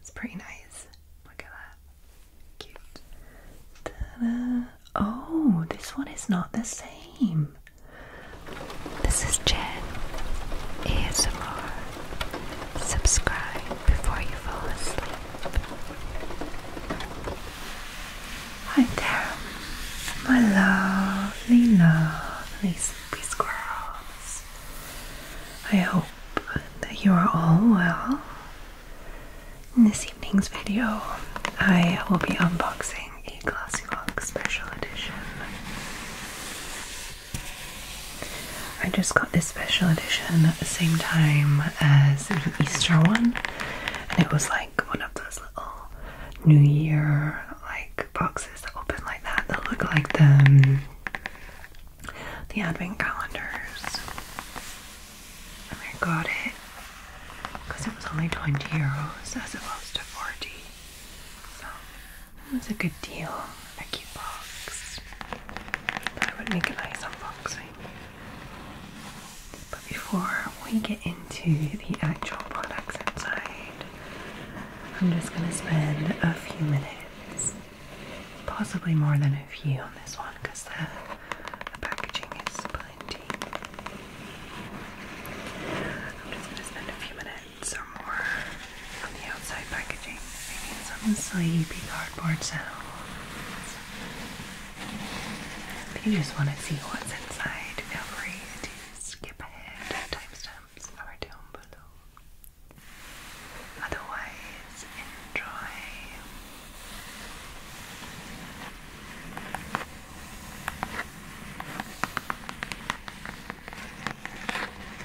It's pretty nice. Look at that. Cute. Oh, this one is not the same. This is Jen ASMR. Subscribe before you fall asleep. Hi there, my lovely, lovely sleepy squirrels. I hope that you are all well. In this evening's video, I will be unboxing a Glossy Special Edition. I just got this special edition at the same time as the Easter one, and it was like one of those little New Year like boxes that open like that that look like the the advent calendars. And I got it because it was only 20 euros as opposed to 40, so it was a good deal a cute box. That would make a nice unboxing. But before we get into the actual products inside, I'm just going to spend a few minutes, possibly more than a few on this one because the, packaging is plenty. I'm just going to spend a few minutes or more on the outside packaging, making some sleepy cardboard sounds. If you just want to see what's inside, feel free to skip ahead timestamps are down below. Otherwise, enjoy.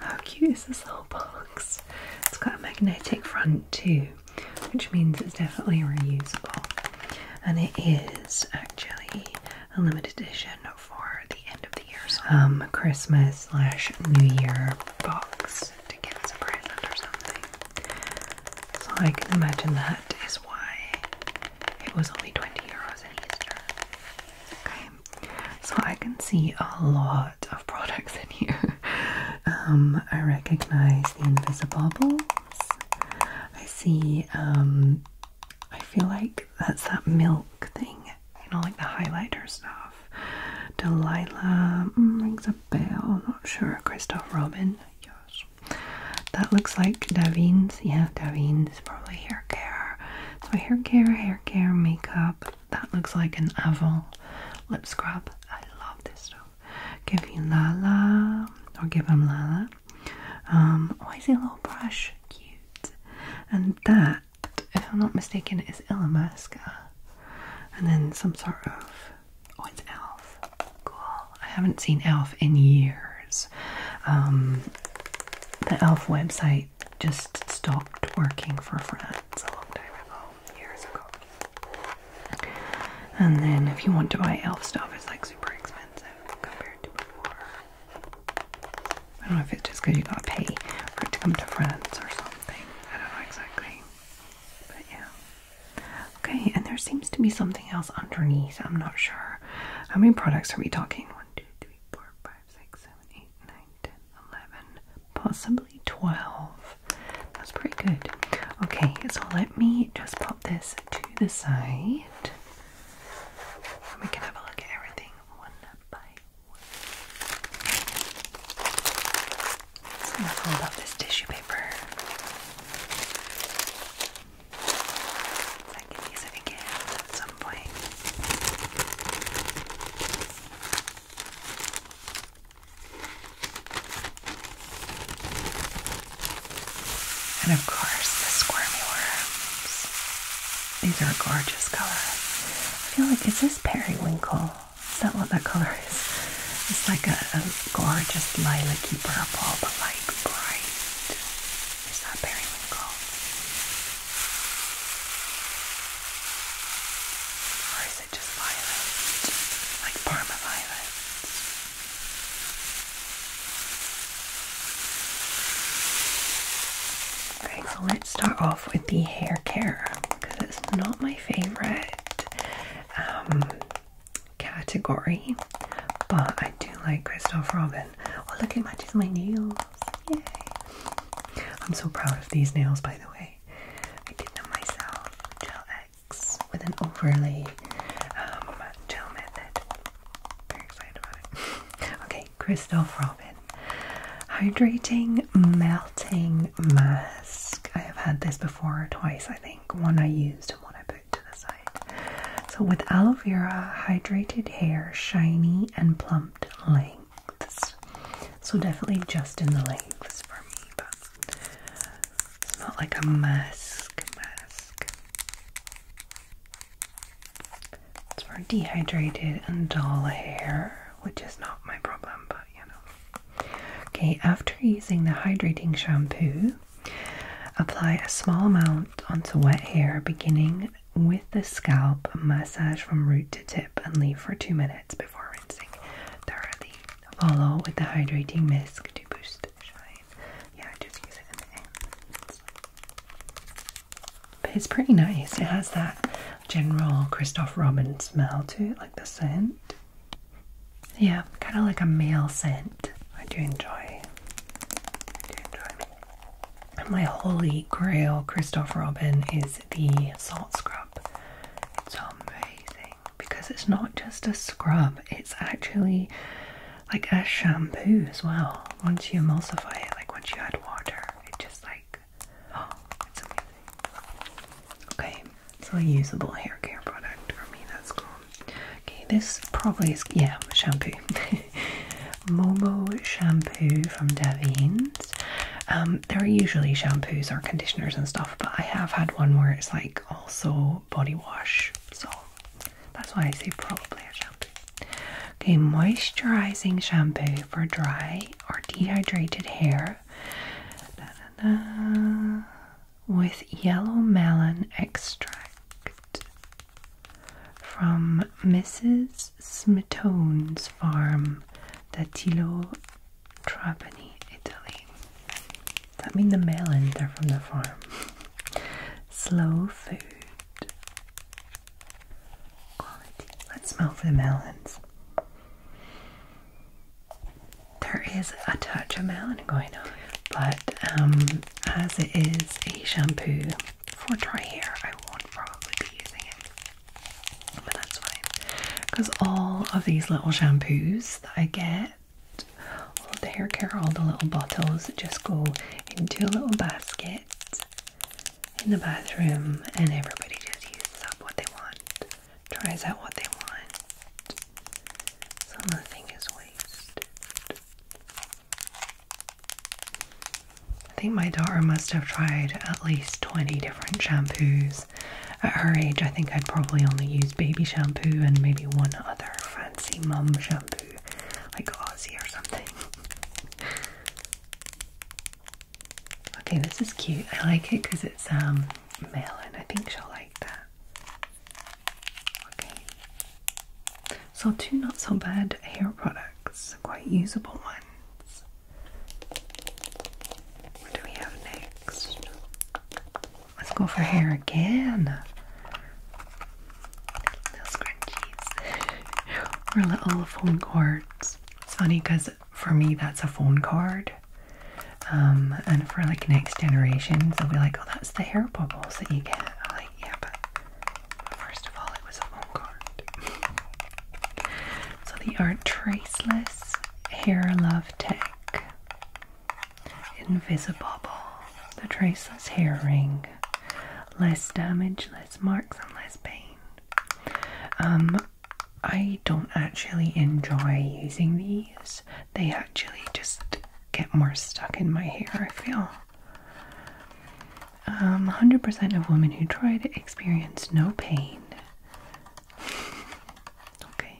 How cute is this little box? It's got a magnetic front too, which means it's definitely reusable. And it is actually a limited edition for the end of the year so um, Christmas slash New Year box to get some a or something. So I can imagine that is why it was only 20 euros in Easter. So I can see a lot of products in here. Um, I recognize the Invisible Bubbles. I see, um, I feel like that's that milk thing, you know, like the highlighter stuff. Delilah mm, rings a bell, not sure. Christoph Robin, yes. That looks like Davine's, yeah, Davine's probably hair care. So hair care, hair care, makeup. That looks like an Avon lip scrub. I love this stuff. Give you Lala or give him Lala. Um, oh, is see a little brush. Cute. And that, if I'm not mistaken, is Ilamasca. And then some sort of oh, it's Elf. Cool. I haven't seen Elf in years. Um, the Elf website just stopped working for France a long time ago, years ago. And then if you want to buy elf stuff, it's like super expensive compared to before. I don't know if it's just because you gotta pay for it to come to France or something. I don't know exactly. But yeah. Okay, and there seems to be something else underneath. I'm not sure. How many products are we talking? One, two, three, four, five, six, seven, eight, nine, ten, eleven, possibly twelve. That's pretty good. Okay, so let me just pop this to the side. And we can have a look at everything one by one. So I'm gonna fold up this tissue paper. So I use it again. And of course, the squirmy worms. These are gorgeous color. I feel like, is this periwinkle? Is that what that color is? It's like a, a gorgeous lilac-y purple, but like bright. Is that periwinkle? Or is it just violet? Like Parma violet? Okay, so let's start off with the hair care because it's not my favorite um, category, but I do like Christoph Robin. Oh, look, it matches my nails. Yay! I'm so proud of these nails, by the way. I did them myself, Gel X, with an overlay um, gel method. Very excited about it. okay, Christoph Robin. Hydrating Melting Mask. I have had this before twice, I think. One I used and one I put to the side. So, with aloe vera, hydrated hair, shiny and plumped lengths. So, definitely just in the lengths for me, but it's not like a mask. Mask. It's for dehydrated and dull hair, which is not my problem, but you know. Okay, after using the hydrating shampoo, apply a small amount onto wet hair beginning with the scalp, massage from root to tip and leave for two minutes before rinsing thoroughly. Follow with the hydrating mist to boost shine. Yeah, I just use it But it's pretty nice. It has that general Christoph Robin smell to it, like the scent. Yeah, kind of like a male scent. I do enjoy my holy grail Christoph Robin is the salt scrub. It's amazing because it's not just a scrub, it's actually like a shampoo as well. Once you emulsify it, like once you add water, it just like oh, it's amazing. Okay, it's a usable hair care product for me, that's cool. Okay, this probably is yeah, shampoo. Momo shampoo from Davines. Um, there are usually shampoos or conditioners and stuff, but I have had one where it's like also body wash, so that's why I say probably a shampoo. Okay, moisturizing shampoo for dry or dehydrated hair with yellow melon extract from Mrs. Smetone's farm, the Tilo, Trapani, Italy. That mean the melons are from the farm. Slow food quality. Let's smell for the melons. There is a touch of melon going on, but um, as it is a shampoo, for dry hair, I won't probably be using it, but that's fine because all of these little shampoos that I get, all the hair care, all the little bottles just go into a little basket in the bathroom, and everybody just uses up what they want, tries out what they want. Some of is wasted. I think my daughter must have tried at least 20 different shampoos. At her age, I think I'd probably only use baby shampoo and maybe one other fancy mum shampoo, like Aussie or something. okay, this is cute. I like it because it's um melon. I think she'll like that. Okay, so two not so bad hair products, quite usable ones. What do we have next? Let's go for hair again. Little scrunchies or little phone cords. It's funny because for me that's a phone card, um, and for like next generation, they'll be like, oh, that's the hair bubbles that you get. I'm like, yeah, First of all, it was a phone card. so the art traceless hair love tech. Invisibobble, the traceless hair ring. Less damage, less marks, and less pain. Um, I don't actually enjoy using these. They actually just get more stuck in my hair, I feel. 100% um, of women who tried it experienced no pain. okay.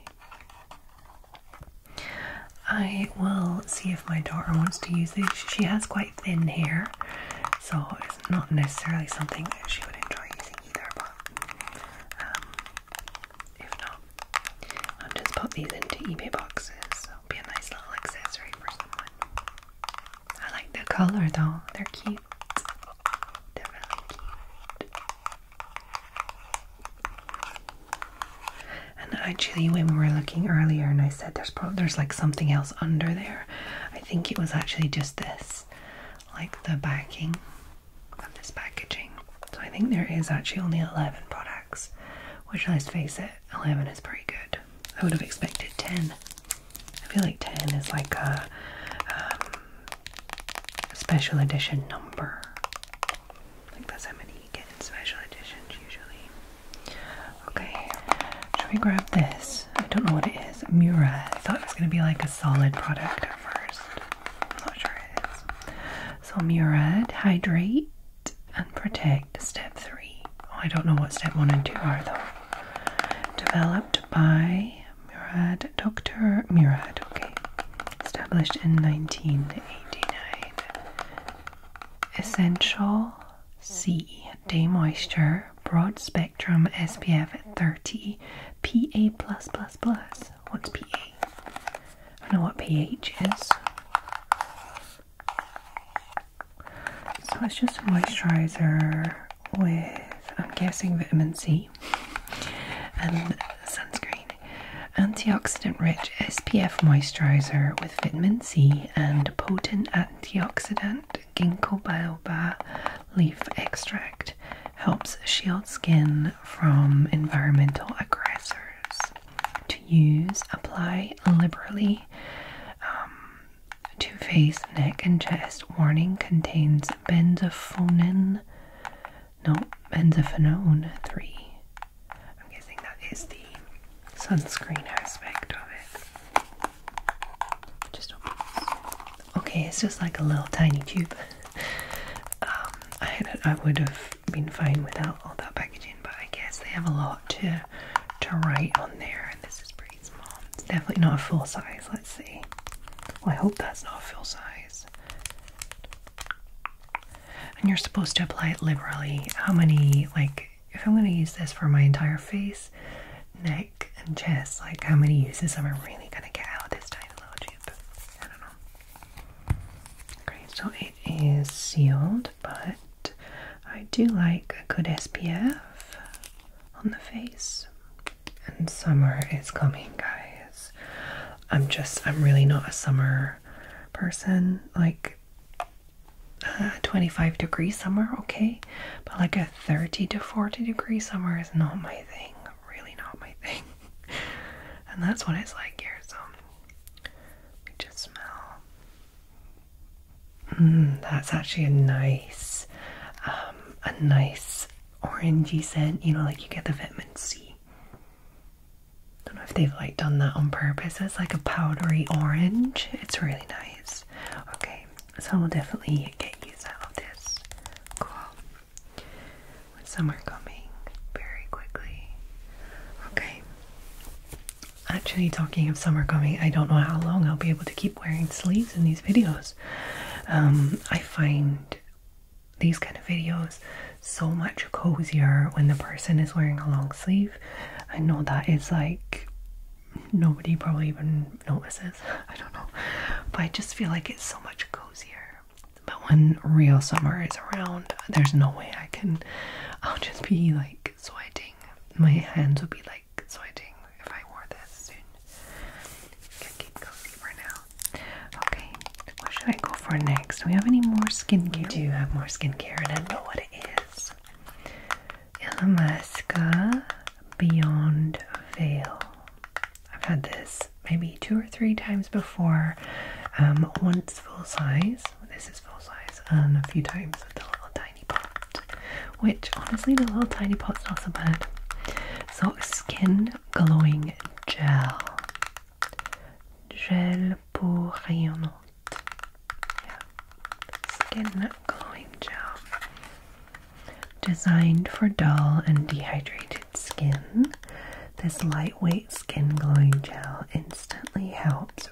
I will see if my daughter wants to use these. She has quite thin hair, so it's not necessarily something she would enjoy using either, but um, if not, I'll just pop these into eBay boxes be a nice little accessory for someone. I like the color though, they're cute. They're really cute. And actually, when we were looking earlier, and I said there's probably there's like something else under there, I think it was actually just this, like the backing of this packaging. So I think there is actually only 11 products, which let's face it, 11 is pretty good. I would have expected 10. I feel like 10 is like a, um, special edition number. Like how many you get in special editions usually. Okay, shall we grab this? I don't know what it is. Mura. I thought it was going to be like a solid product at first. I'm not sure it is. So Murad Hydrate and protect step three. Oh, I don't know what step one and two are though. Developed by Murad, Dr. Murad, okay. Established in 1989. Essential C. Day Moisture, Broad Spectrum SPF 30, PA. plus. What's PA? I don't know what pH is. So it's just a moisturizer with, I'm guessing, vitamin C and sunscreen. Antioxidant rich SPF moisturizer with vitamin C and potent antioxidant ginkgo biloba leaf extract helps shield skin from environmental aggressors to use. Apply liberally um, to face, neck, and chest. Warning contains benzophonin. No, benzophenone 3. I'm guessing that is the sunscreen aspect of it. Just okay, it's just like a little tiny tube. Um, I, I would have been fine without all that packaging but I guess they have a lot to to write on there, and this is pretty small. It's definitely not a full size. Let's see. I hope that's not full size. And you're supposed to apply it liberally. How many like? If I'm going to use this for my entire face, neck, and chest, like how many uses am I really going to get out of this tiny little tube? I don't know. Okay, so is sealed, but I do like a good SPF on the face. And summer is coming, guys. I'm just, I'm really not a summer person. Like a uh, 25 degree summer, okay, but like a 30 to 40 degree summer is not my thing. Really, not my thing. and that's what it's like here. So, we just smell. Mm, that's actually a nice, um, a nice orangey scent. You know, like you get the vitamin C. Don't know if they've like done that on purpose. It's like a powdery orange. It's really nice. Okay, so I will definitely get used out of this. Cool. Summer coming very quickly. Okay. Actually, talking of summer coming, I don't know how long I'll be able to keep wearing sleeves in these videos. Um, I find these kind of videos so much cozier when the person is wearing a long sleeve. I know that is like nobody probably even notices. I don't know, but I just feel like it's so much cozier. But when real summer is around, there's no way I can. I'll just be like like sweating. My hands would be like sweating if I wore this soon. Can keep cozy for now. Okay, what should I go for next? Do we have any more skincare? We do have more skincare, and I don't know what it is. Illamasqua uh, Beyond Veil. I've had this maybe two or three times before. Um, once full size, this is full size, and a few times with the little tiny pot, which honestly, the little tiny pot's not so bad. So, Skin Glowing Gel. Gel pour rayonnante. Yeah. Skin Glowing Gel. Designed for dull and dehydrated skin, this lightweight skin glowing gel instantly helps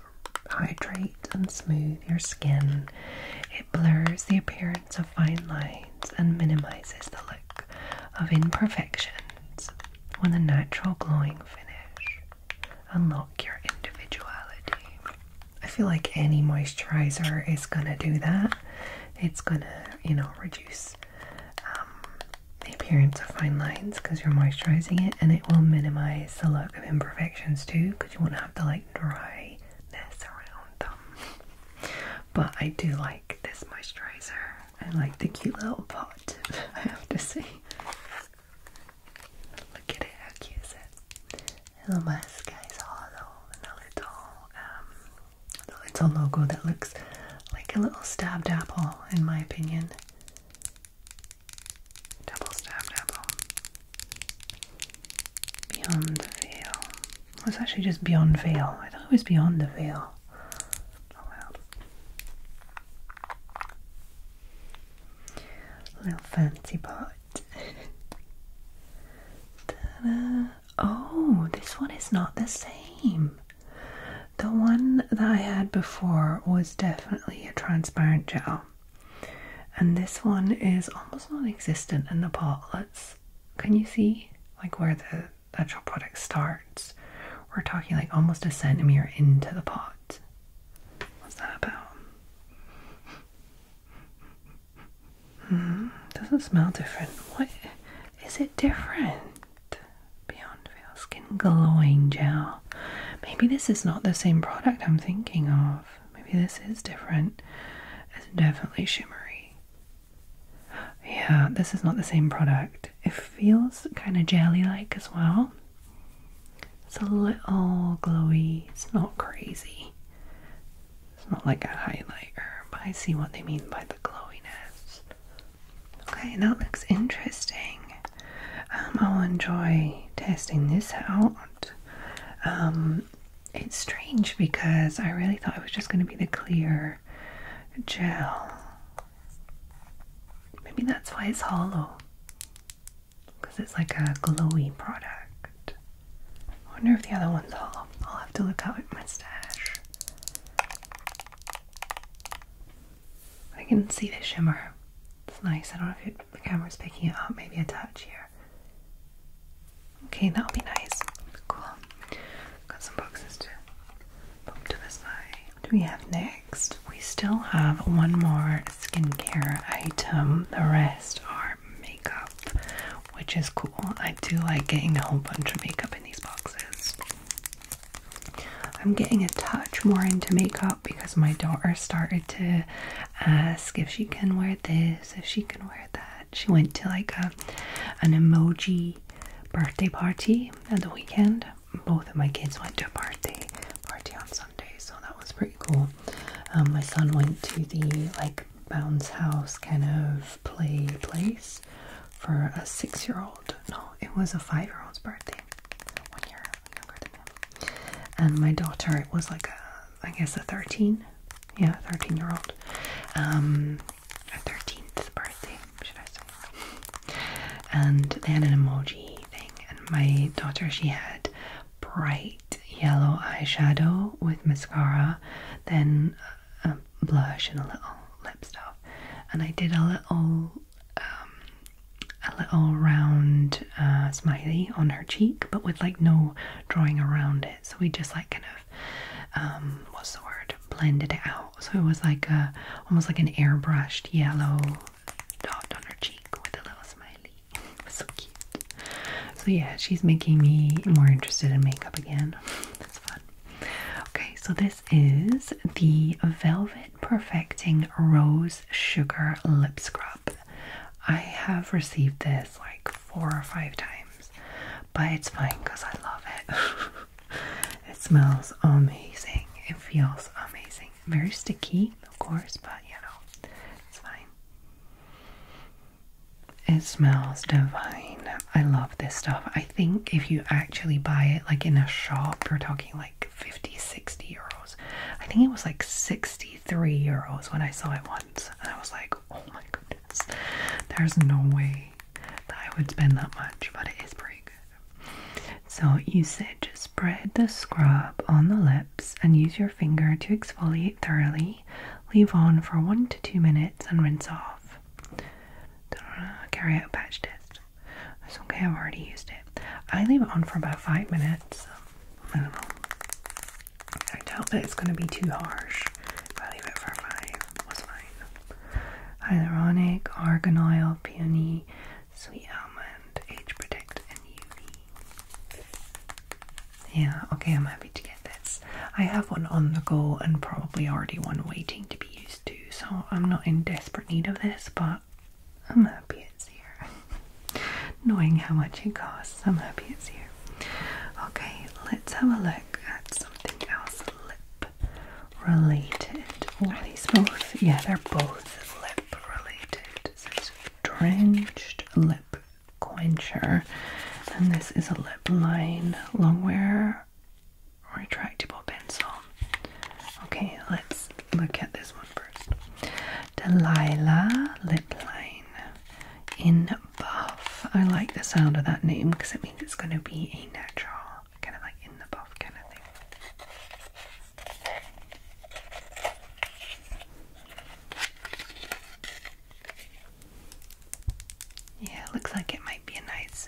hydrate and smooth your skin. It blurs the appearance of fine lines and minimizes the look of imperfections with a natural glowing finish. Unlock your individuality. I feel like any moisturizer is gonna do that. It's gonna, you know, reduce um, the appearance of fine lines because you're moisturizing it, and it will minimize minimize the look of imperfections too because you won't have to like dry this around them. But I do like this moisturizer. I like the cute little pot, I have to say. Look at it, how cute is it? The little mask is and a little um the little logo that looks like a little stabbed apple in my opinion. Double stab double. Beyond the veil. Well, it's actually just beyond veil. I thought it was beyond the veil. Oh well. Little fancy pot. Oh, this one is not the same. The one that I had before was definitely a transparent gel, and this one is almost non existent in the pot. Let's Can you see like where the actual product starts? We're talking like almost a centimeter into the pot. What's that about? Hmm, doesn't smell different. What is it different? Beyond Veil Skin Glowing Gel. Maybe this is not the same product I'm thinking of. Maybe this is different. It's definitely shimmery. Yeah, this is not the same product. It feels kind of jelly like as well. It's a little glowy. It's not crazy. It's not like a highlighter, but I see what they mean by the glowiness. Okay, that looks interesting. Um, I'll enjoy testing this out. Um, it's strange because I really thought it was just going to be the clear gel. Maybe that's why it's hollow. Because it's like a glowy product. I wonder if the other one's hollow. I'll have to look out at my stash. I can see the shimmer. It's nice. I don't know if the camera's picking it up. Maybe a touch here. Okay, that'll be nice. Cool. Got some boxes too. to the side. do we have next? We still have one more skincare item. The rest are makeup, which is cool. I do like getting a whole bunch of makeup in these boxes. I'm getting a touch more into makeup because my daughter started to ask if she can wear this, if she can wear that. She went to like a an emoji birthday party at the weekend. Both of my kids went to a birthday party on Sunday, so that was pretty cool. Um, my son went to the like bounce house kind of play place for a six-year-old. No, it was a five-year-old's birthday. And my daughter was like I guess a 13, yeah, 13 year old, um, her 13th birthday, should I say. And they had an emoji thing, and my daughter, she had bright yellow eyeshadow with mascara, then a blush and a little lip stuff. And I did a little um, a little round uh, smiley on her cheek, but with like no drawing around it. So we just like kind of, um, what's the word, blended it out. So it was like a almost like an airbrushed yellow dot on her cheek with a little smiley. so cute. So yeah, she's making me more interested in makeup again. That's fun. Okay, so this is the Velvet Perfecting Rose Sugar Lip Scrub. I have received this like four or five times, but it's fine because I love it. it smells amazing. It feels amazing. Very sticky, of course, but you know, it's fine. It smells divine. I love this stuff. I think if you actually buy it like in a shop, you're talking like 50, 60 euros. I think it was like 63 euros when I saw it once, and I was like, oh my goodness, there's no way that I would spend that much, but it is pretty good. So, you said just spread the scrub on the lips and use your finger to exfoliate thoroughly. Leave on for one to two minutes and rinse off. Carry out patch test okay, I've already used it. I leave it on for about five minutes. I don't know. I doubt that it's going to be too harsh if I leave it for five. That's fine. Hyaluronic, argan oil, peony, sweet almond, age protect, and UV. Yeah, okay, I'm happy to get this. I have one on the go and probably already one waiting to be used too, so I'm not in desperate need of this, but I'm happy it's here. Knowing how much it costs, I'm happy it's here. Okay, let's have a look at something else lip related. All these both, yeah, they're both lip related. So a drenched lip quencher, and this is a lip line long wear retractable pencil. Okay, let's look at this one first. Delilah line in buff. I like the sound of that name because it means it's going to be a natural, kind of like in the buff kind of thing. Yeah, looks like it might be a nice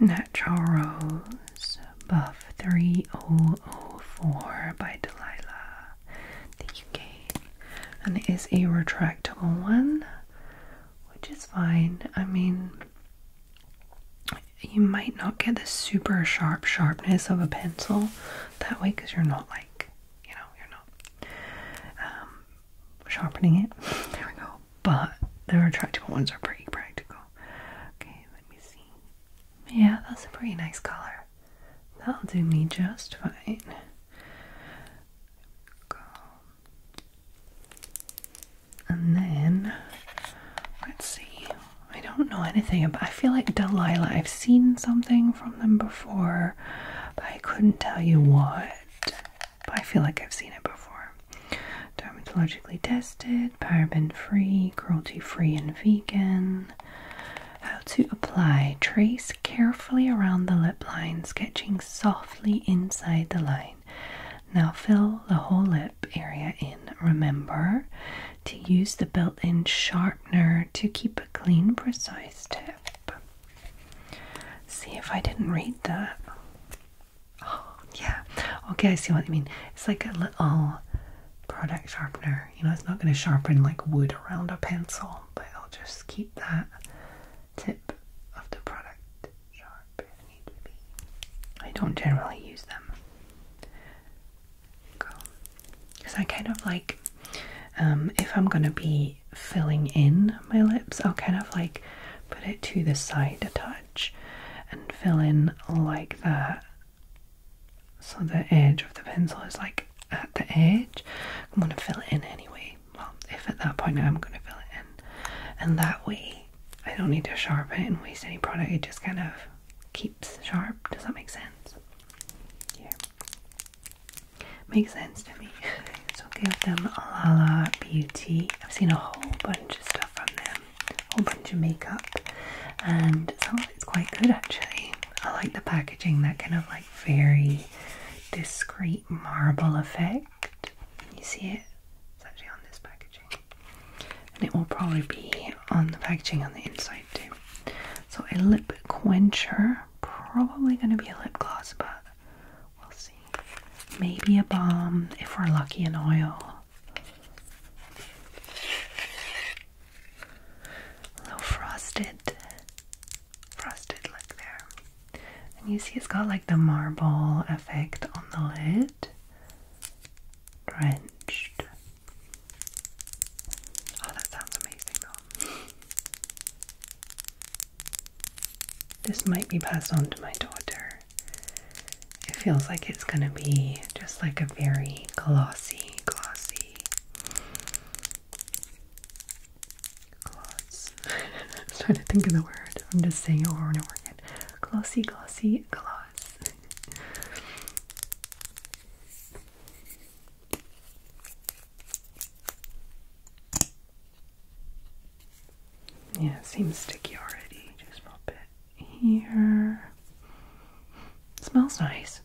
Natural Rose Buff 3004 by Delilah that you And it is a retractable one, which is fine. I mean, you might not get the super sharp sharpness of a pencil that way because you're not like, you know, you're not um, sharpening it. There we go. But the retractable ones are pretty practical. Okay, let me see. Yeah, that's a pretty nice color. That'll do me just fine. And then, let's see. I don't know anything about. I feel like Delilah. I've seen something from them before, but I couldn't tell you what. But I feel like I've seen it before dermatologically tested, paraben free, cruelty free, and vegan. How to apply trace carefully around the lip line, sketching softly inside the line. Now fill the whole lip area in. Remember to use the built in sharpener to keep a clean, precise tip. See if I didn't read that. Oh, yeah. Okay, I see what you mean. It's like a little product sharpener. You know, it's not going to sharpen like wood around a pencil, but i will just keep that tip of the product sharp I don't generally use them. Because I kind of like, um, if I'm going to be filling in my lips, I'll kind of like put it to the side a touch and fill in like that. So the edge of the pencil is like at the edge. I'm going to fill it in anyway. Well, if at that point I'm going to fill it in. And that way I don't need to sharpen and waste any product. It just kind of keeps sharp. Does that make sense? Yeah. Makes sense to me. So give them a la Beauty. I've seen a whole bunch of stuff from them a whole bunch of makeup, and some it's quite good actually. I like the packaging, that kind of like very discreet marble effect. you see it? It's actually on this packaging, and it will probably be on the packaging on the inside too. So, a lip quencher, probably going to be a lip gloss, but we'll see. Maybe a balm if we're lucky, an oil little frosted, frosted look there. And you see it's got like the marble effect on the lid. Drenched. Oh, that sounds amazing though. This might be passed on to my daughter. It feels like it's going to be just like a very glossy, glossy gloss. I'm trying to think of the word. I'm just saying it over and over again. Glossy, glossy, gloss. Yeah, it seems sticky already. Just pop it here. Smells nice.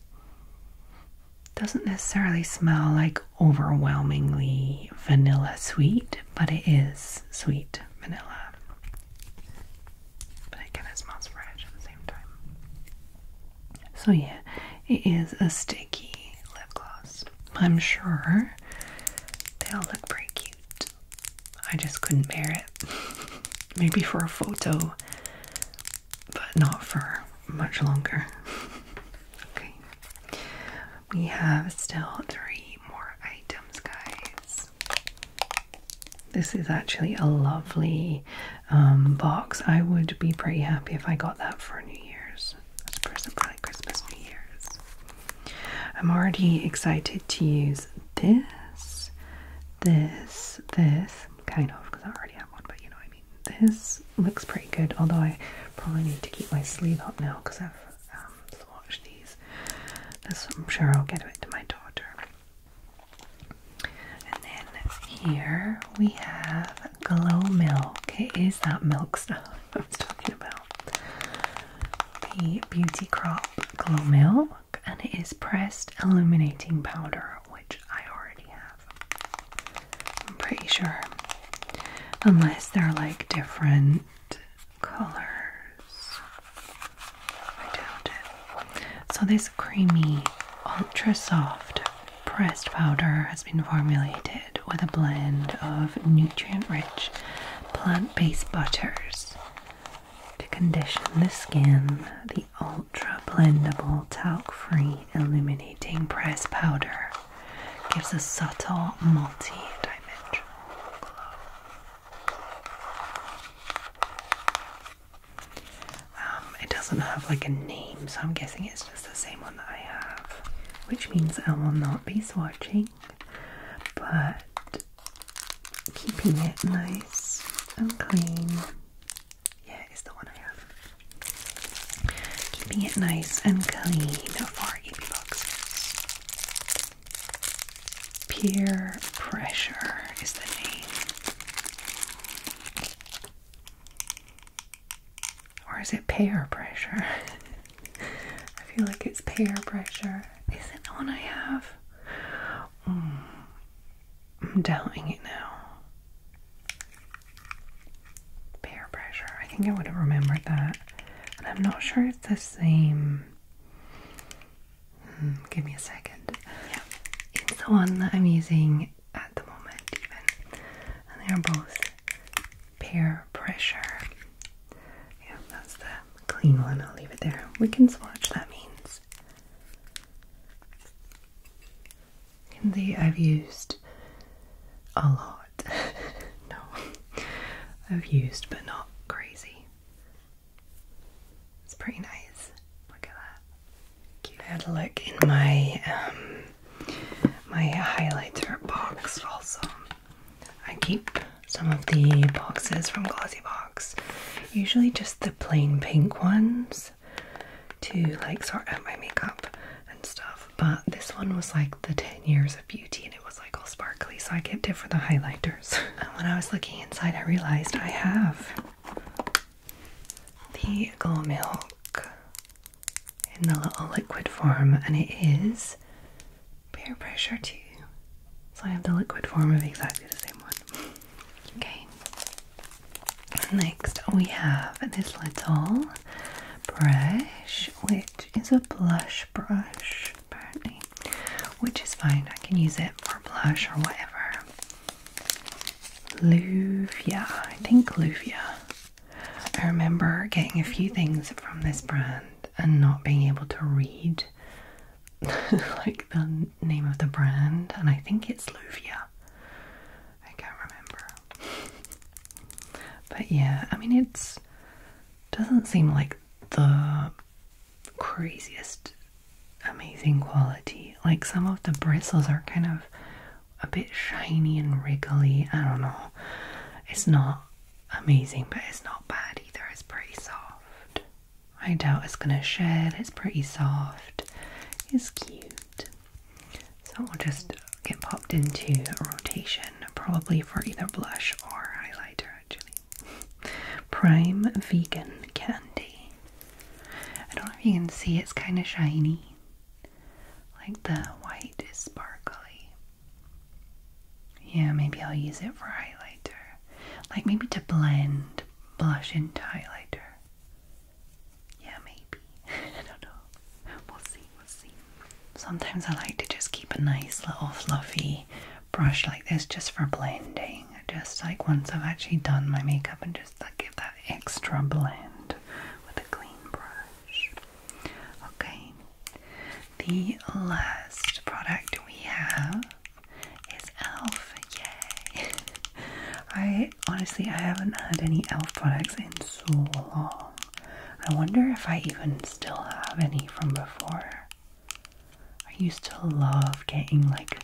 Doesn't necessarily smell like overwhelmingly vanilla sweet, but it is sweet vanilla. But it smells fresh at the same time. So, yeah, it is a sticky lip gloss. I'm sure they all look pretty cute. I just couldn't bear it. Maybe for a photo, but not for much longer. okay. We have still three more items, guys. This is actually a lovely um, box. I would be pretty happy if I got that for New Year's. present for like Christmas, New Year's. I'm already excited to use this, this, this, kind of, because I already have one, but you know what I mean. This looks pretty good, although I probably need to keep my sleeve up now because I've um, swatched these. This I'm sure I'll get it to my daughter. And then here we have Glow Milk. Okay, is that milk stuff I was talking about. The Beauty Crop Glow Milk, and it is pressed illuminating powder, which I already have. I'm pretty sure. Unless they're like different colors. I doubt it. So, this creamy, ultra soft pressed powder has been formulated with a blend of nutrient rich plant based butters to condition the skin, the ultra blendable talc free illuminating press powder gives a subtle multi dimensional glow. Um, it doesn't have like a name, so I'm guessing it's just the same one that I have, which means I will not be swatching but keeping it nice and clean. Yeah, it's the one I have. Keeping it nice and clean for EP boxes. Peer Pressure is the name. Or is it peer pressure? I feel like it's peer pressure. Is it the one I have? Mm, I'm doubting it now. Pair pressure. I think I would have remembered that. And I'm not sure it's the same. Hmm, give me a second. Yeah, it's the one that I'm using at the moment, even. And they are both pair pressure. Yeah, that's the clean one. I'll leave it there. We can swatch, that means. You can I've used a lot. no, I've used but not crazy. It's pretty nice. Look at that. Cute. I had a look in my um, my highlighter box also I keep some of the boxes from Glossy Box, usually just the plain pink ones to like sort out my makeup and stuff. But this one was like the 10 years of beauty and it was like all sparkly, so I kept it for the highlighters. And when I was looking inside, I realized I have the Glow Milk in the little liquid form, and it is Air pressure too. So I have the liquid form of exactly the same one. Okay. Next we have this little brush, which is a blush brush, apparently. Which is fine, I can use it for blush or whatever. Luvia, I think Luvia. I remember getting a few things from this brand and not being able to read like the name of the brand, and I think it's Luvia. I can't remember. but yeah, I mean it's doesn't seem like the craziest amazing quality. Like some of the bristles are kind of a bit shiny and wriggly. I don't know. It's not amazing, but it's not bad either. It's pretty soft. I doubt it's gonna shed. It's pretty soft. It's cute. So we'll just get popped into rotation, probably for either blush or highlighter. Actually, Prime Vegan Candy. I don't know if you can see. It's kind of shiny. Like the white is sparkly. Yeah, maybe I'll use it for highlighter. Like maybe to blend blush into highlighter. Yeah, maybe. I don't know. We'll see, we'll see. Sometimes I like to just keep a nice little fluffy brush like this just for blending. Just like once I've actually done my makeup and just like give that extra blend with a clean brush. Okay. The last product we have is Elf. Yay! I honestly I haven't had any Elf products in so long. I wonder if I even still have any from before. I used to love getting like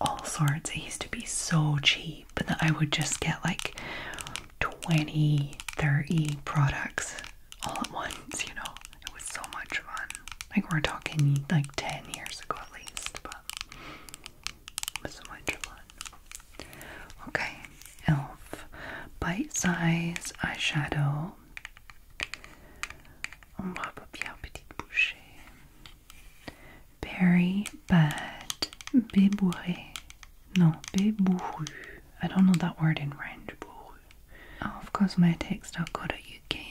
all sorts. It used to be so cheap that I would just get like 20, 30 products all at once, you know. It was so much fun. Like we're talking like 10 years ago at least, but it was so much fun. Okay, e.l.f. Bite Size Eyeshadow. On va pas bien petite bouchée. Berry Bad. Bébouré. Non, bébouru. I don't know that word in French. Oh, of course, my UK.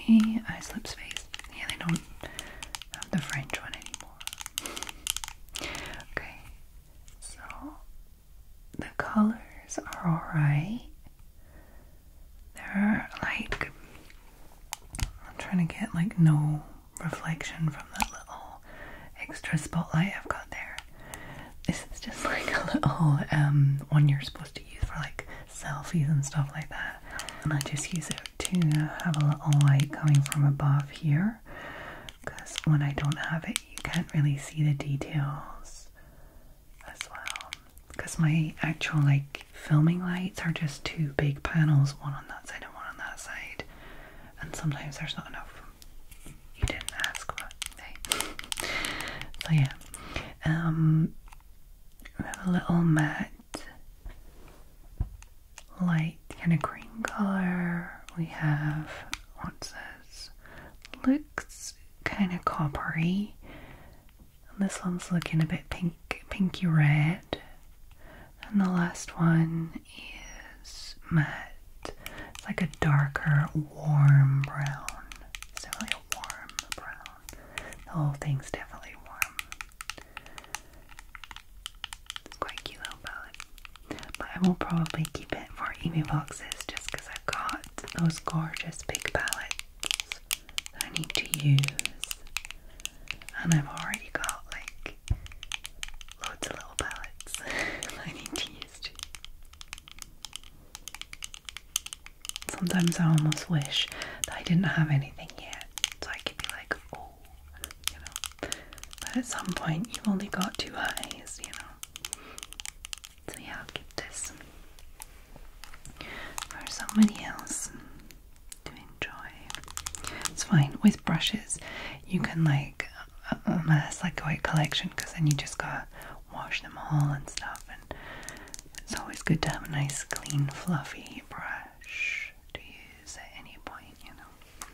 I slip space. Yeah, they don't have the French one anymore. okay, so the colors are alright. They're like, I'm trying to get like no reflection from that little extra spotlight I've got there. This is just like a little um, one you're supposed to use for like selfies and stuff like that. And I just use it to have a little light coming from above here because when I don't have it, you can't really see the details as well. Because my actual like filming lights are just two big panels, one on that side and one on that side, and sometimes there's not enough you didn't ask for. So yeah, um, we have a little matte, light kind of green color. We have what's this? Looks kind of coppery. And this one's looking a bit pink, pinky red. And the last one is matte it's like a darker, warm brown. It's definitely a warm brown. The whole thing's definitely warm. It's quite cute little palette. But I will probably keep it for email boxes just because I've got those gorgeous big palettes I need to use. And I've already got like loads of little palettes I need to use too. Sometimes I almost wish that I didn't have anything yet, so I could be like, oh, you know. But at some point, you've only got two eyes, you know. So yeah, I'll keep this for somebody else to enjoy. It's fine with brushes. You can like unless like a white collection because then you just gotta wash them all and stuff and it's always good to have a nice clean fluffy brush to use at any point you know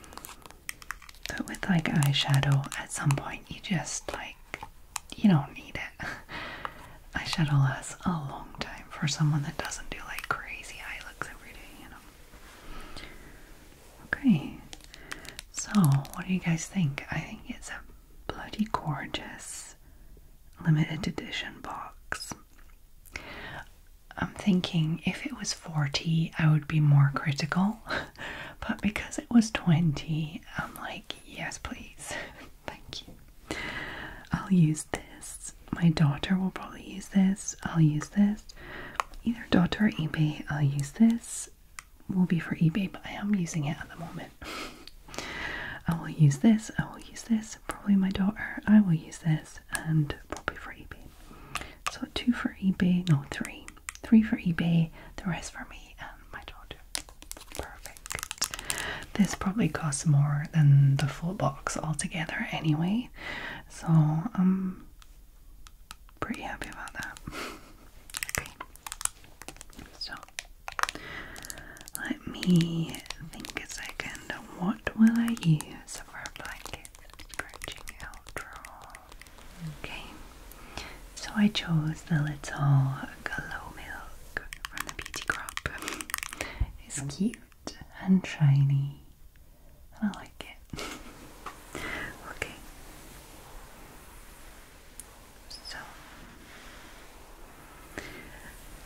but with like eyeshadow at some point you just like you don't need it eyeshadow lasts a long time for someone that doesn't do like crazy eye looks every day you know okay so, what do you guys think? I think it's a bloody gorgeous limited edition box. I'm thinking if it was 40, I would be more critical, but because it was 20, I'm like, yes, please, thank you. I'll use this. My daughter will probably use this. I'll use this. Either daughter or eBay, I'll use this will be for eBay, but I am using it at the moment. I will use this, I will use this, probably my daughter, I will use this, and probably for eBay. So two for eBay, no three. Three for eBay, the rest for me and my daughter. Perfect. This probably costs more than the full box altogether anyway. So um pretty happy about that. okay. So let me think a second. What will I use for a blanket scratching outro? Okay. So I chose the little glow milk from the beauty crop. It's cute and shiny. And I like it. okay. So,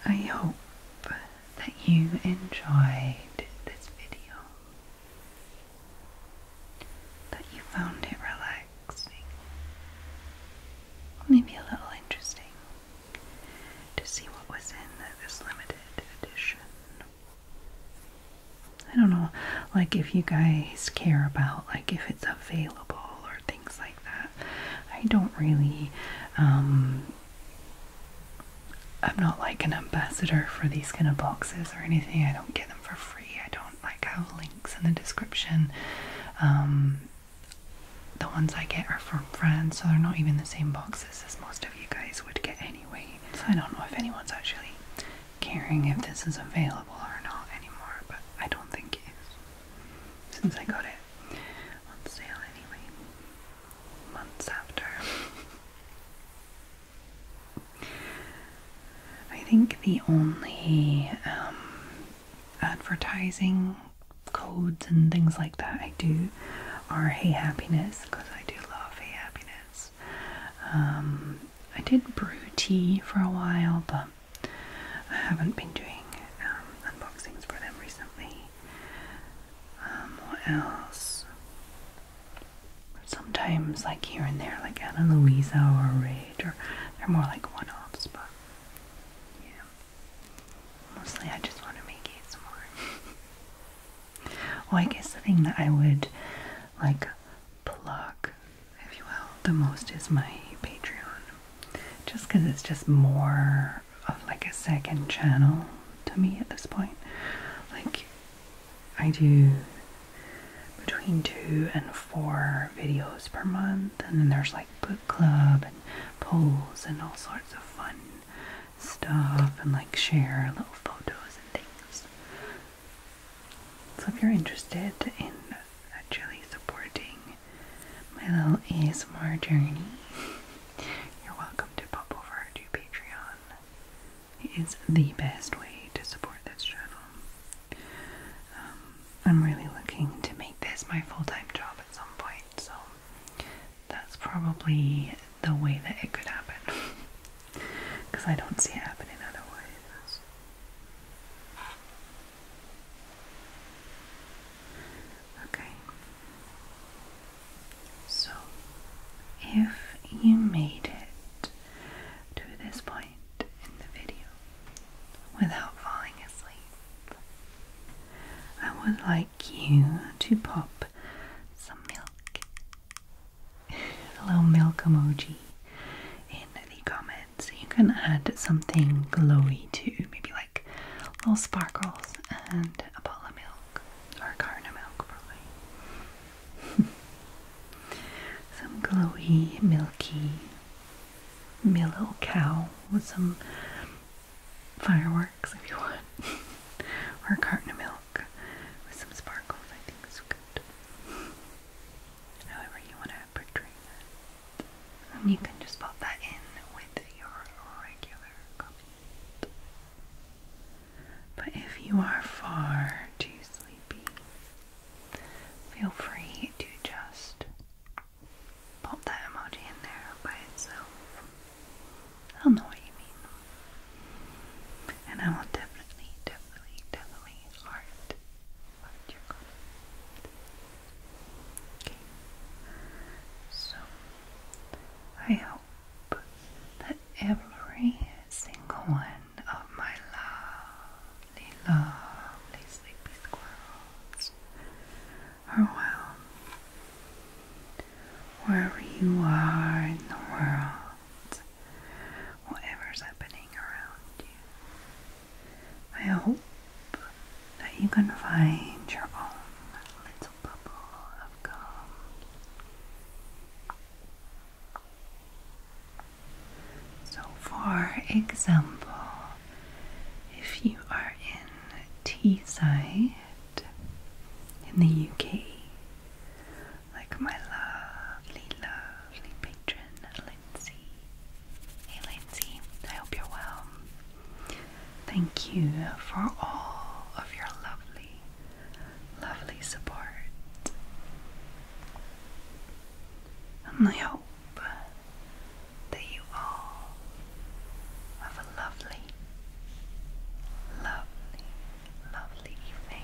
I hope that you enjoyed this video, that you found it relaxing, maybe a little interesting to see what was in this limited edition. I don't know, like if you guys care about like if it's available or things like that. I don't really, um, I'm not like an ambassador for these kind of boxes or anything. I don't get them for free. I don't like have links in the description. Um, the ones I get are from friends, so they're not even the same boxes as most of you guys would get anyway. So I don't know if anyone's actually caring if this is available or not anymore, but I don't think it is since I got it on sale anyway, months after. I think the only um, advertising codes and things like that I do are Hey Happiness because I do love Hey Happiness. Um, I did brew tea for a while, but I haven't been doing um, unboxings for them recently. Um, what else? Sometimes, like here and there, like Anna Louise or Rage, or they're more like one offs, but yeah. Mostly, I just want to make it more. Well, I guess the thing that I would like plug if you will, the most is my Patreon. Just because it's just more of like a second channel to me at this point. Like, I do between two and four videos per month, and then there's like book club and polls and all sorts of fun stuff, and like share little photos and things. So if you're interested in actually supporting my little ASMR journey, you're welcome to pop over to Patreon. It is the best way to support this channel. Um, I'm really looking to make this my full-time job at some point, so that's probably the way that it could happen. Because I don't see it happening otherwise. Okay. So, if you made it to this point in the video without falling asleep, I would like you to pop some milk a little milk emoji in the comments. You can add something glowy too, maybe like little sparkles and a bottle of milk or carna milk probably. some glowy, milky little cow with some fireworks if you want. or a carton of milk with some sparkles, I think is good however you want to portray you can just pop that in with your regular comment. But if you are far too sleepy, feel free to just pop that emoji in there by itself. I'll know what you mean. And I will definitely, definitely definitely, definitely are you're going Okay. So, I hope that every single one of my lovely, lovely sleepy squirrels are well. Wherever you are in the world, whatever's happening around you. I hope that you can find your own little bubble of calm. So, for example, if you are in Teesside in the UK, like my lovely, lovely patron Lindsay. Hey Lindsay, I hope you're well. Thank you for all of your lovely, lovely support. And I hope that you all have a lovely, lovely, lovely evening